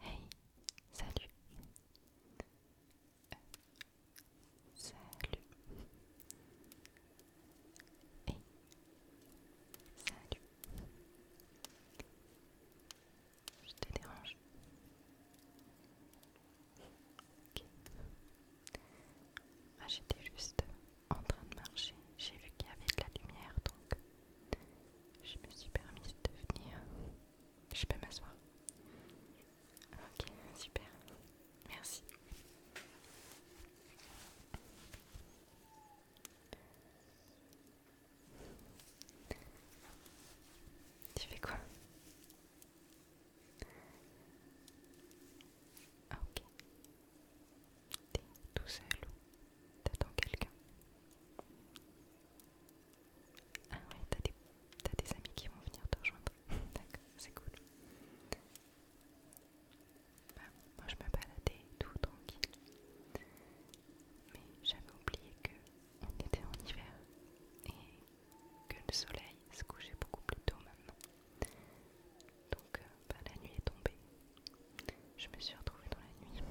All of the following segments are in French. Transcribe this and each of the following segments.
Hey, salut. salut. Hey, salut. Je te dérange. Ok. J'étais juste en train de marcher. J'ai vu qu'il y avait de la lumière, donc je me suis permis de venir. Je peux m'asseoir. Ok, super. Merci. Tu fais quoi ah, Ok. T'es tout seul t'attends quelqu'un ah ouais, t'as des, amis qui vont venir te rejoindre. D'accord, c'est cool. Bah, moi je me baladais tout tranquille. Mais j'avais oublié qu'on était en hiver et que le soleil se couchait beaucoup plus tôt maintenant. Donc euh, bah, la nuit est tombée. Je me suis retrouvée dans la nuit.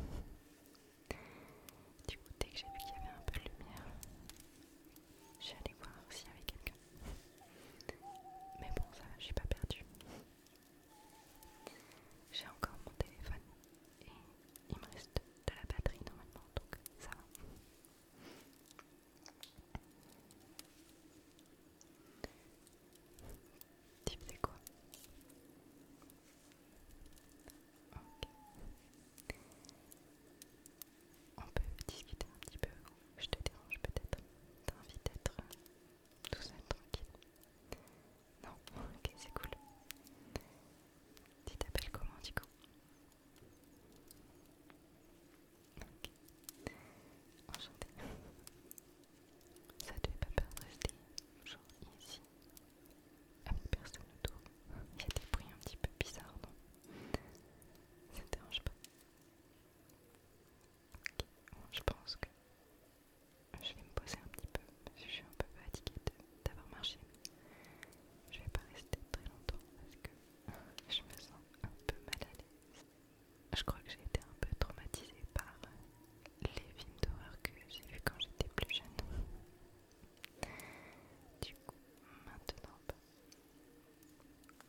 Du coup, dès que j'ai vu qu'il y avait un peu de lumière, je suis allée voir s'il y avait quelqu'un. Mais bon, ça, va, je suis pas perdue. J'ai encore mon téléphone et il me reste de la batterie normalement, donc ça va. Tu quoi on peut discuter un petit peu, je te dérange peut-être. T'as envie d'être euh, tout seul, tranquille. Non, ok, c'est cool. Tu t'appelles comment du coup Ok. Enchantée. Ça te fait pas peur de rester genre ici avec ah, personne autour. Il y a des bruits un petit peu bizarres, Ça ne dérange pas. je pense que je vais me poser un petit peu parce que je suis un peu fatiguée d'avoir marché. Je vais pas rester très longtemps parce que je me sens un peu mal à l'aise. Je crois que j'ai été un peu traumatisée par les films d'horreur que j'ai vus quand j'étais plus jeune. Du coup, maintenant, bah,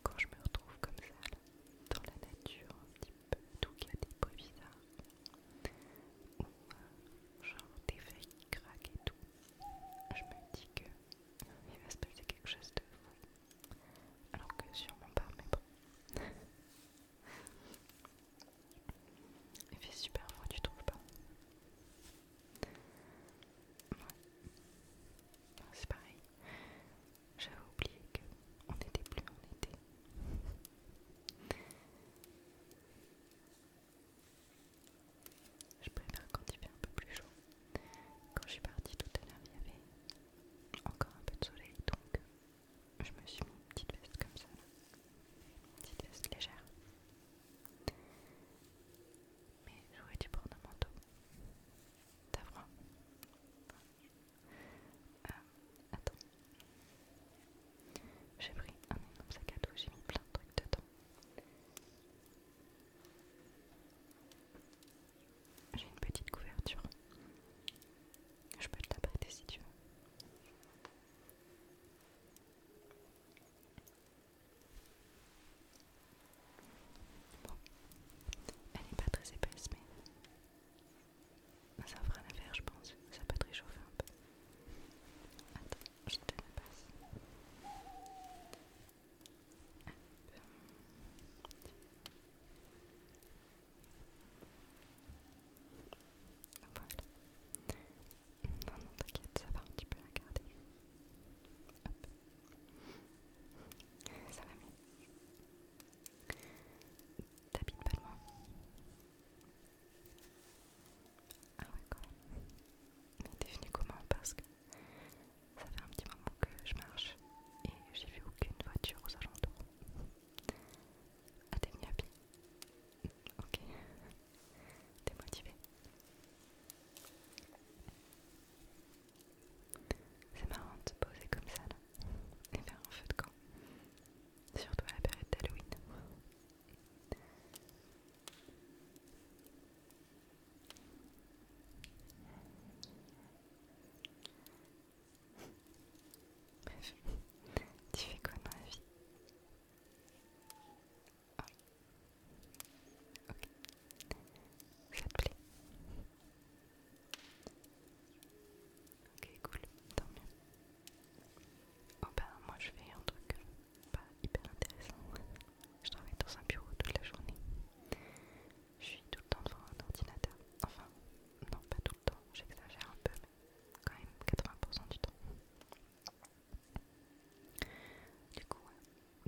quand je me retrouve comme ça, dans la nature, un petit peu, tout cas des bruits bizarres, euh, genre des feuilles qui craquent et tout, je me dis que euh, il va se passer quelque chose de fou. Alors que sûrement pas, mais bon. Il fait super froid, tu trouves pas C'est pareil. J'avais oublié qu'on était plus en été. Je préfère quand il fait un peu plus chaud. Quand je suis partie tout à l'heure, il y avait encore un peu de soleil, donc je me suis mis une petite veste comme ça. Petite veste légère. Mais j'aurais dû prendre un manteau. T'as froid euh, Attends. J'ai pris un énorme sac à dos, j'ai mis plein de trucs dedans. J'ai une petite couverture. Je peux te la prêter si tu veux. Bon, elle n'est pas très épaisse, mais ça fera l'affaire, je pense. Ça peut te réchauffer un peu. Attends, je te la passe. Voilà. Non, non, t'inquiète, ça va, un petit peu la garder. Hop. Ça va mieux. T'habites pas loin Ah ouais, quand même. Mais t'es venu comment Parce que ça fait un petit moment que je marche et j'ai vu aucune voiture aux alentours. A ah, t'es venu à pied ok, t'es motivé. C'est marrant de te poser comme ça là et faire un feu de camp, surtout à la période d'Halloween. Bref, tu fais quoi dans la vie Ok. Ça te Ok, cool. Tant mieux. Oh, bah moi je fais un truc euh, pas hyper intéressant. Je travaille dans un bureau toute la journée. Je suis tout le temps devant un ordinateur. Enfin, non pas tout le temps, j'exagère un peu, mais quand même 80% du temps. Du coup,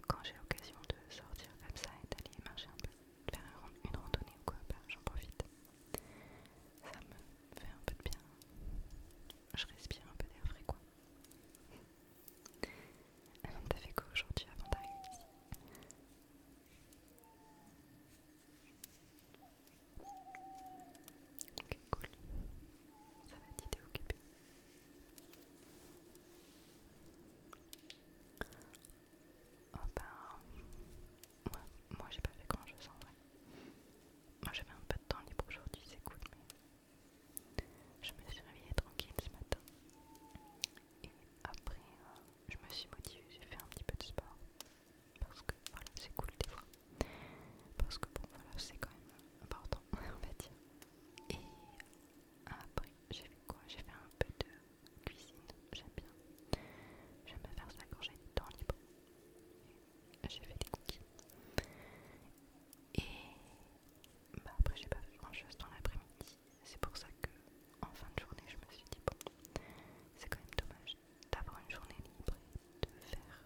quand j'ai l'occasion de sortir comme ça et d'aller marcher un peu, faire une randonnée ou quoi, bah, j'en profite. Ça me fait un peu de bien. Je respire un peu d'air frais quoi. Alors t'as fait quoi aujourd'hui avant d'arriver ici Ok, cool. Ça va occupée. Oh, bah, moi j'ai pas fait grand chose en vrai. Moi j'avais un peu de temps libre aujourd'hui, c'est cool, mais... Je me suis réveillée tranquille ce matin. Et après, euh, je me suis motivée, j'ai fait un petit peu de sport parce que voilà, c'est cool des fois. Parce que bon, voilà, c'est quand même important, on va dire. Et après, j'ai fait quoi J'ai fait un peu de cuisine, j'aime bien. J'aime bien faire ça quand j'ai du temps libre. J'ai fait des cookies. Et bah après, j'ai pas fait grand chose dans l'après-midi. C'est pour ça que en fin de journée, je me suis dit, bon, c'est quand même dommage d'avoir une journée libre et de faire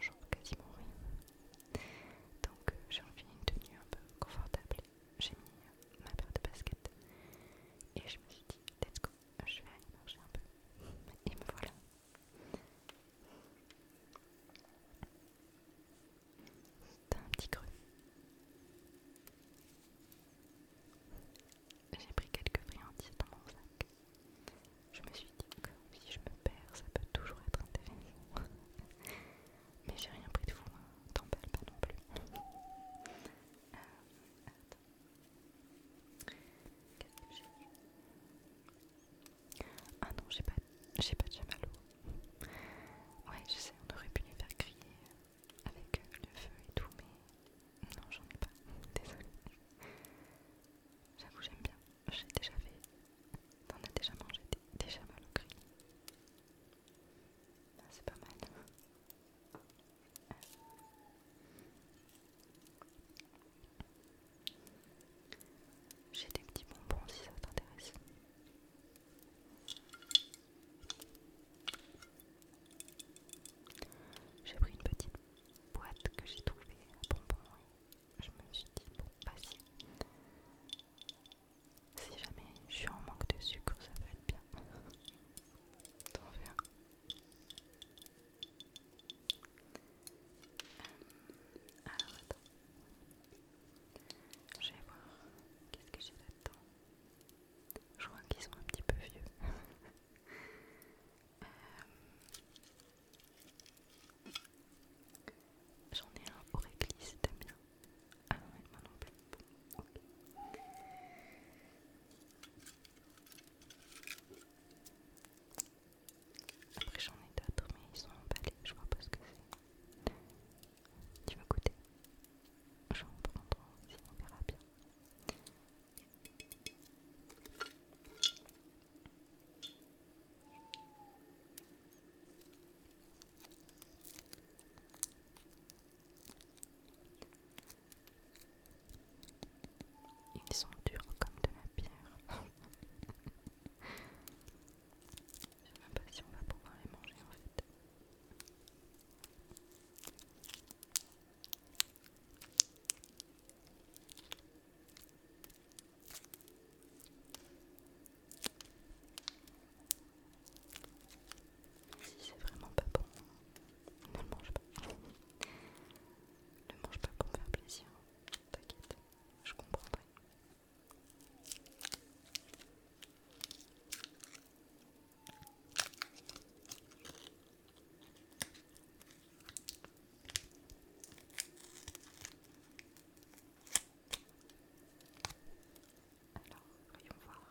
genre quasiment rien. Donc euh, j'ai envie une tenue un peu confortable. J'ai mis euh, ma paire de baskets et je me suis dit let's go, je vais aller marcher un peu. Et me voilà. T'as un petit creux. J'ai pris quelques friandises dans mon sac. Je me suis dit que si je me perds, ça peut toujours être intéressant. Mais j'ai rien pris de fou, hein. t'emballes pas non plus. Euh, Qu'est-ce Ah non, j'ai pas, j'ai pas de chamallow. Ouais, je sais, on aurait pu les faire crier avec euh, le feu et tout, mais non, j'en ai pas. Désolée. J'avoue, j'aime bien j'ai déjà fait, t'en as déjà mangé, t'es déjà mal au cri. Ah, c'est pas mal. J'ai des petits bonbons si ça t'intéresse. J'ai pris une petite boîte que j'ai trouvée à bonbons je me suis dit, bon, bah si. Si jamais je suis en manque de sucre, ça va être bien. T'en hein. veux Alors attends. Je vais voir qu'est-ce que j'ai là-dedans. Je crois qu'ils sont un petit peu vieux. Euh, j'en ai un au réglisse, t'aimes bien Ah moi non plus. Après j'en ai d'autres, mais ils sont emballés, je vois pas ce que c'est. Tu vas goûter Je vais en prendre si on verra bien. Ils sont durs comme de la pierre. Je sais même pas si on va pouvoir les manger en fait. Si c'est vraiment pas bon, ne le mange pas. Ne le mange pas pour faire plaisir, t'inquiète, je comprendrai. Alors, voyons voir.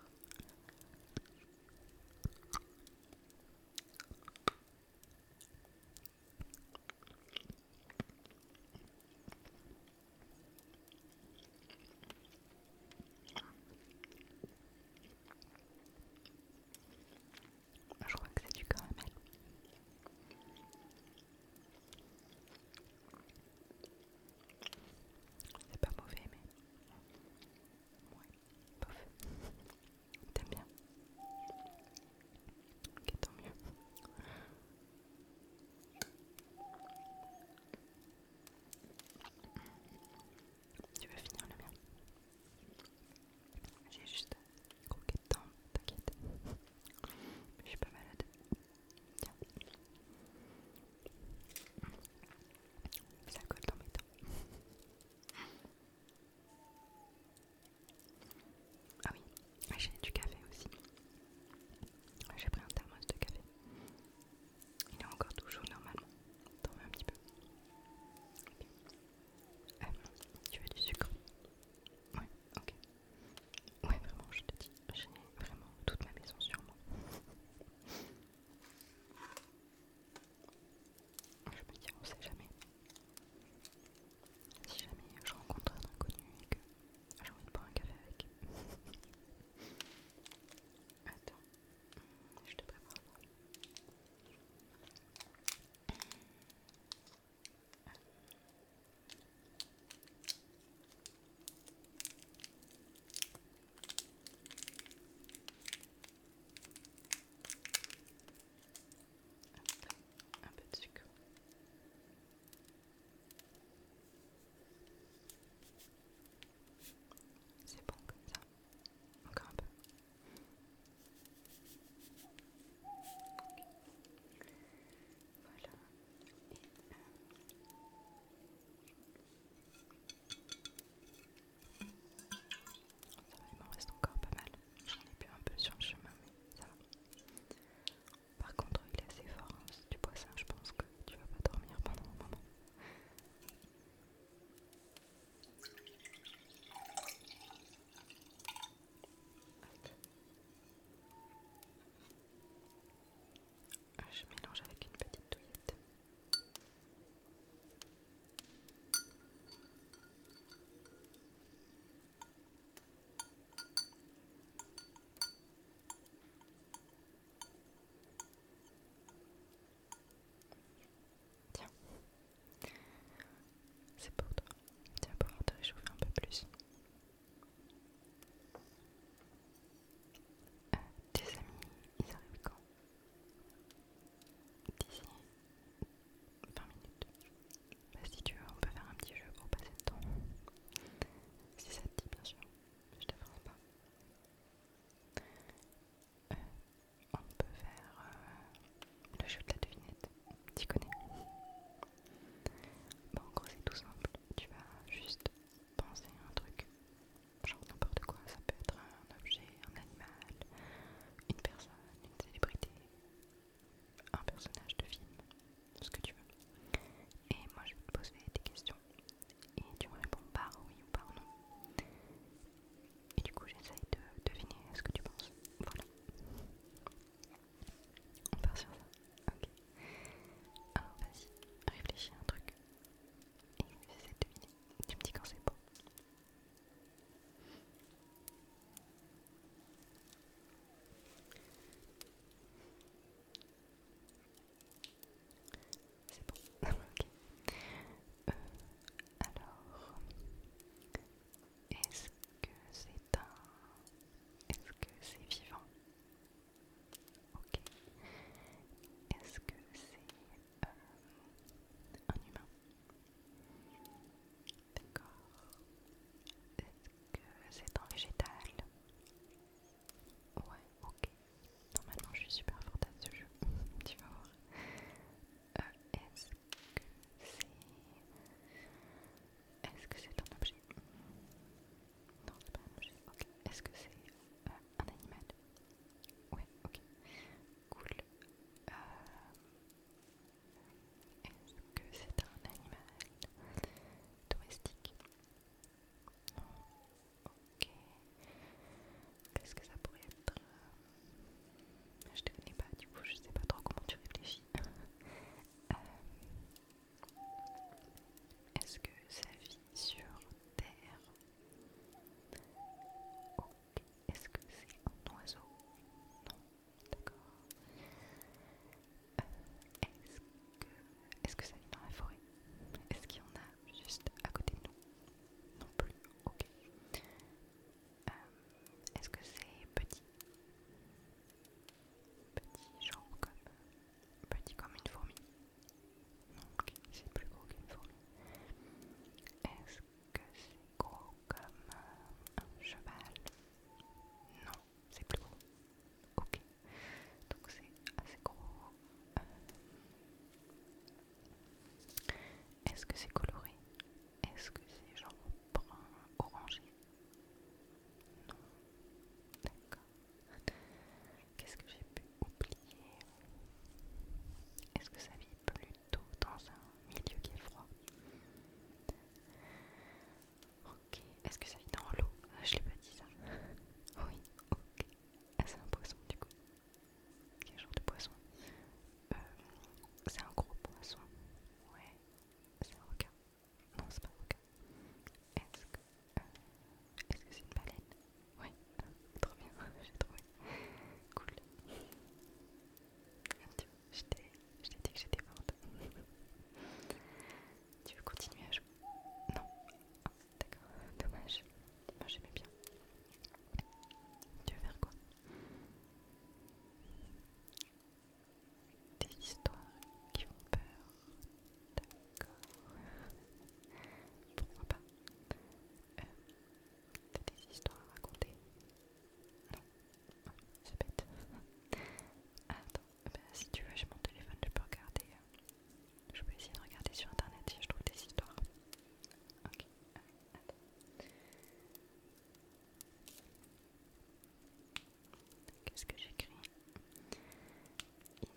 Je crois que c'est du caramel. C'est pas mauvais, mais. Ouais, bof. T'aimes bien. Ok, tant mieux. Tu veux finir le mien j'ai juste croqué dedans, t'inquiète. Je suis pas malade. Tiens. Ça colle dans mes Ah oui, ah, j'ai du café aussi. Ah, j'ai pris un thermos de café. Il est encore toujours normalement. T'en veux un petit peu. Euh, tu veux du sucre oui, ok. Oui, vraiment, je te dis, j'ai vraiment toute ma maison sur moi. Je me dis, on sait jamais. Si jamais je rencontre un inconnu et que j'ai envie de boire un café avec. Attends, je te prépare un peu de sucre. C'est bon comme ça. Encore un peu. Voilà. il m'en reste encore pas mal. J'en ai plus un peu sur le chemin, mais ça va. Par contre, il est assez fort. Hein, du poisson, je pense que tu vas pas dormir pendant un moment. Ah, je mélange avec une petite douillette. Tiens, c'est pour toi. Tu pour te réchauffer un peu plus. Euh, tes amis, ils arrivent quand D'ici 20 minutes. Bah, si tu veux, on peut faire un petit jeu pour passer le temps. Si ça te dit, bien sûr. Je te ferai pas. Euh, on peut faire euh, le jeu de la devinette, Tu connais Bon, en gros, c'est tout simple. Tu vas juste penser à un truc, genre n'importe quoi. Ça peut être un objet, un animal, une personne, une célébrité, un personnage de film, ce que tu veux. Et moi, je vais te poser des questions et tu me réponds par oui ou par non. Et du coup, j'essaye de deviner ce que tu penses. Voilà. On part sur ça Ok. Alors ah, vas-y, réfléchis à un truc. Et j'essaie de deviner. Tu me dis quand c'est bon. C'est bon, ok. Euh, alors, est-ce que c'est un... Est-ce que c'est vivant Ok. Est-ce que c'est euh, un humain D'accord. Est-ce que c'est un végétal Ouais, ok. Normalement, je suis super forte à ce jeu. tu vas voir. Euh, est est-ce que c'est un objet Non, c'est pas un objet. Est-ce que c'est euh, un animal Oui, ok. Cool. Euh, est-ce que c'est un animal domestique Non. Ok. Qu'est-ce que ça pourrait être je te connais pas, du coup, je sais pas trop comment tu réfléchis. Euh, est-ce que ça vit sur Terre Ok, est-ce que c'est un oiseau Non, d'accord. Euh, est-ce que, est que ça vit dans la forêt Est-ce qu'il y en a juste à côté de nous Non plus, ok. Euh, est-ce que c'est petit Petit genre comme... Petit comme une fourmi Non, ok, c'est plus gros qu'une fourmi. Est-ce que c'est gros comme euh, un cheval Non, c'est plus gros. Ok, donc c'est assez gros. Euh, est-ce que c'est coloré Est-ce que c'est genre brun, orangé non, d'accord. Qu'est-ce que j'ai pu oublier Est-ce que ça vit plutôt dans un milieu qui est froid Ok, est-ce que ça vit dans l'eau ah, Je l'ai pas dit ça. Oui, ok. Ah, c'est un poisson du coup. Quel genre de poisson euh, C'est un gros poisson. Ouais. C'est un requin. Non, c'est pas un requin. Est-ce que euh, est-ce que c'est une baleine Oui, trop bien, j'ai trouvé. Cool. tu je t'ai dit que j'étais morte. tu veux continuer à jouer Non. Ah, d'accord, dommage. Moi j'aimais bien. Tu veux faire quoi des histoires qui vont peur, d'accord Pourquoi pas euh, des histoires à raconter Non, c'est bête. Attends, bah, si tu veux, j'ai mon téléphone, je peux regarder. Euh, je peux essayer de regarder sur internet si je trouve des histoires. Euh, Qu'est-ce que j'écris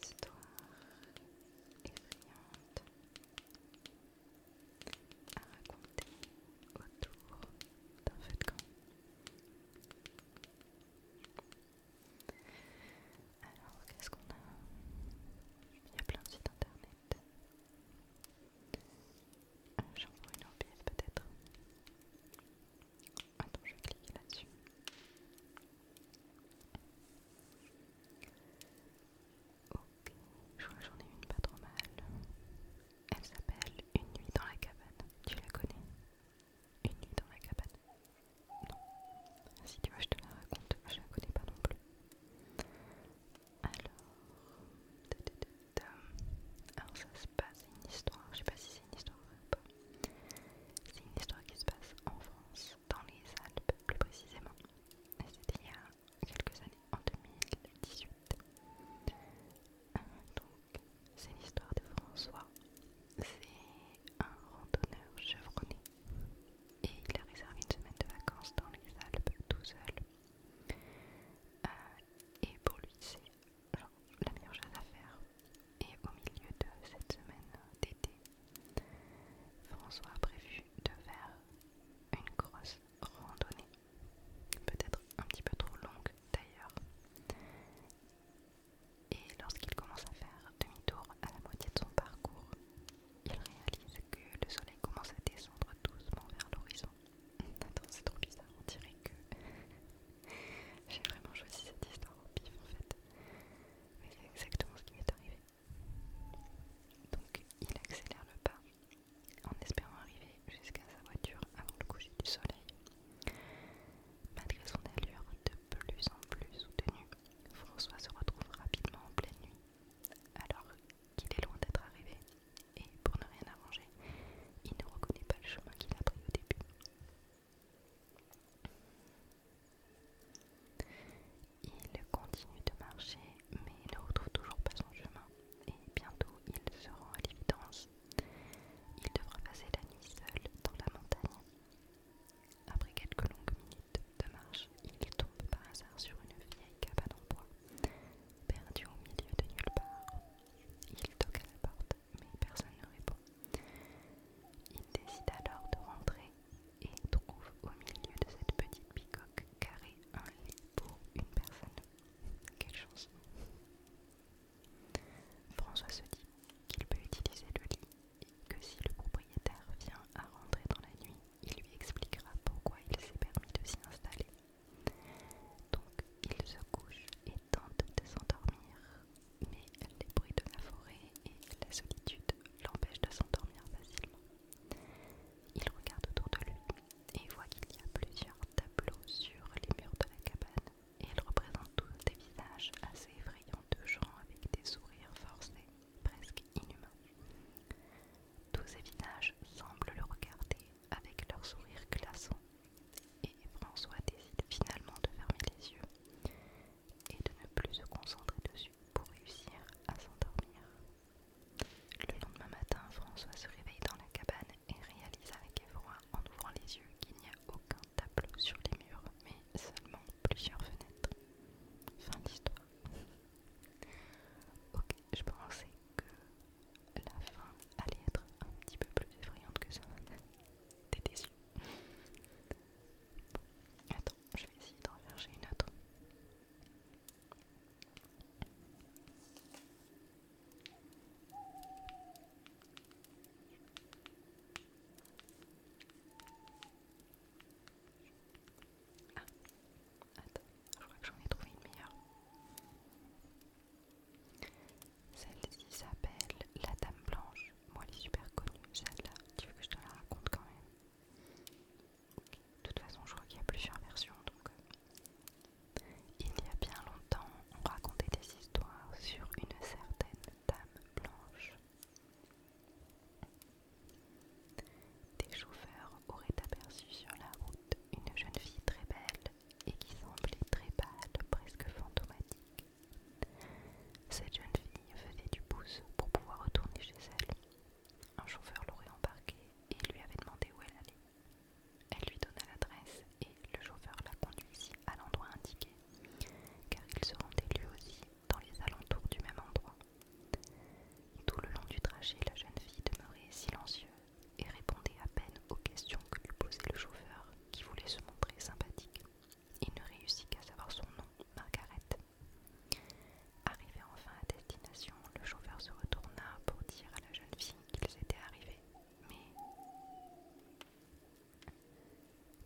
Histoire effrayante à raconter autour d'un feu de camp. Alors, qu'est-ce qu'on a Il y a plein de sites internet. J'envoie une OBS peut-être. Attends, je vais cliquer là-dessus. Ok, je vois j'en ai une pas trop mal. Elle s'appelle Une nuit dans la cabane. Tu la connais Une nuit dans la cabane Non. Si tu vois je te la raconte. Je la connais pas non plus. Alors alors ça se passe, une histoire, je sais pas si c'est une histoire ou pas, c'est une histoire qui se passe en France, dans les Alpes plus précisément, c'était il y a quelques années, en 2018. donc, c'est l'histoire de François, c'est un randonneur chevronné, et il a réservé une semaine de vacances dans les Alpes tout seul. Euh, et pour lui, c'est la meilleure chose à faire. Et au milieu de cette semaine d'été, François a prévu de faire une grosse randonnée, peut-être un petit peu trop longue d'ailleurs. Et lorsqu'il commence à faire demi-tour à la moitié de son parcours, il réalise que le soleil commence à descendre doucement vers l'horizon Attends, c'est trop bizarre, on dirait que j'ai vraiment choisi cette histoire au pif en fait. Mais c'est exactement ce qui m'est arrivé. Donc il accélère le pas en espérant arriver jusqu'à sa voiture avant le coucher du soleil. Malgré son allure de plus en plus soutenue, François se retrouve rapidement en pleine nuit. Alors qu'il est loin d'être arrivé, et, pour ne rien arranger, il ne reconnaît pas le chemin qu'il a pris au début. Il continue de marcher, mais ne retrouve toujours pas son chemin, et bientôt il se rend à l'évidence. Il devra passer la nuit seul dans la montagne. Après quelques longues minutes de marche, il tombe par hasard sur une vieille cabane en bois, perdue au milieu de nulle part, il toque à la porte, mais personne ne répond. Il décide alors de rentrer et trouve au milieu de cette petite bicoque carrée un lit pour une personne. Quelle chance François se dit qu'il peut utiliser le lit et que si le propriétaire vient à rentrer dans la nuit, il lui expliquera pourquoi il s'est permis de s'y installer. Donc il se couche et tente de s'endormir, mais les bruits de la forêt et la solitude l'empêchent de s'endormir facilement. Il regarde autour de lui et voit qu'il y a plusieurs tableaux sur les murs de la cabane et ils représentent tous des visages assez effrayants de gens avec des sourires forcés, presque inhumains. Tous ces visages semblent le regarder avec leurs sourires glaçants et François décide finalement de fermer les yeux et de ne plus se concentrer dessus pour réussir à s'endormir. Le lendemain matin, François se réveille dans la cabane et réalise avec effroi en ouvrant les yeux qu'il n'y a aucun tableau sur les murs, mais seulement plusieurs fenêtres. Fin d'histoire. Ok, je pensais que la fin allait être un petit peu plus effrayante que ça. T'es déçu. attends, je vais essayer d'en chercher une autre. Ah, attends, je crois que j'en ai trouvé une meilleure. Celle-ci s'appelle La Dame Blanche. Moi, elle est super connue, celle-là. Tu veux que je te la raconte quand même De toute façon, je crois qu'il y a plusieurs versions. Donc, euh, il y a bien longtemps, on racontait des histoires sur une certaine Dame Blanche. Des chauffeurs auraient aperçu sur la route une jeune fille très belle et qui semblait très pâle, presque fantomatique. Cette jeune fille faisait du pouce pour pouvoir retourner chez elle. Un chauffeur l'aurait embarqué et lui avait demandé où elle allait. Elle lui donna l'adresse et le chauffeur la conduisit à l'endroit indiqué, car il se rendait lui aussi dans les alentours du même endroit. Tout le long du trajet, la jeune fille demeurait silencieuse, et répondait à peine aux questions que lui posait le chauffeur qui voulait se montrer sympathique. Il ne réussit qu'à savoir son nom, Margaret. Arrivé enfin à destination, le chauffeur se retourna pour dire à la jeune fille qu'ils étaient arrivés, mais...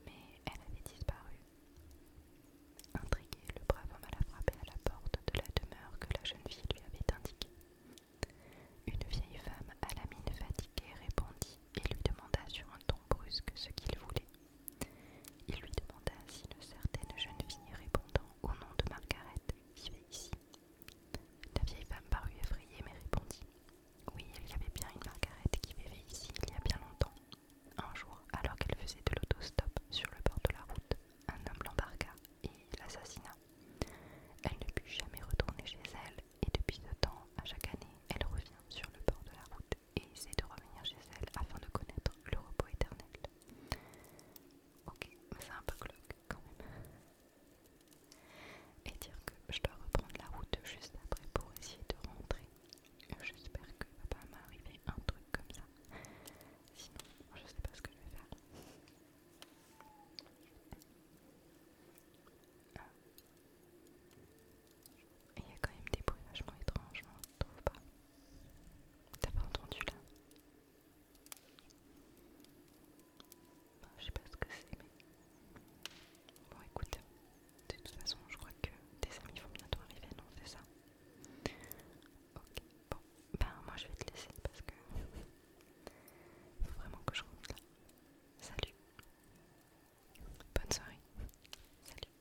Mais elle avait disparu. Intrigué, le brave homme alla frapper à la porte de la demeure que la jeune fille lui avait indiquée. Une vieille femme à la mine fatiguée répondit et lui demanda sur un ton brusque ce qu'il voulait. Il lui demanda si une certaine jeune fille répondant au nom de Margaret vivait ici. La vieille femme parut effrayée mais répondit Oui, il y avait bien une Margaret qui vivait ici il y a bien longtemps. Un jour, alors qu'elle faisait de l'autostop sur le bord de la route, un homme l'embarqua et l'assassina. Elle ne put jamais retourner chez elle et depuis ce temps, à chaque année, elle revient sur le bord de la route et essaie de revenir chez elle afin de connaître le repos éternel. Ok, mais c'est un peu cloque quand même. Et dire que je dois reprendre la route juste après pour essayer de rentrer. J'espère que va pas m'arriver un truc comme ça. Sinon, je ne sais pas ce que je vais faire. Ah. Il y a quand même des bruits vachement étranges, ne hein, tu trouve pas T'as pas entendu là Je sais pas ce que c'est, mais. Bon, écoute, de toute façon, je crois que tes amis vont bientôt arriver, non C'est ça Ok, bon, ben moi je vais te laisser parce que. Faut vraiment que je rentre là. Salut. Bonne soirée. Salut.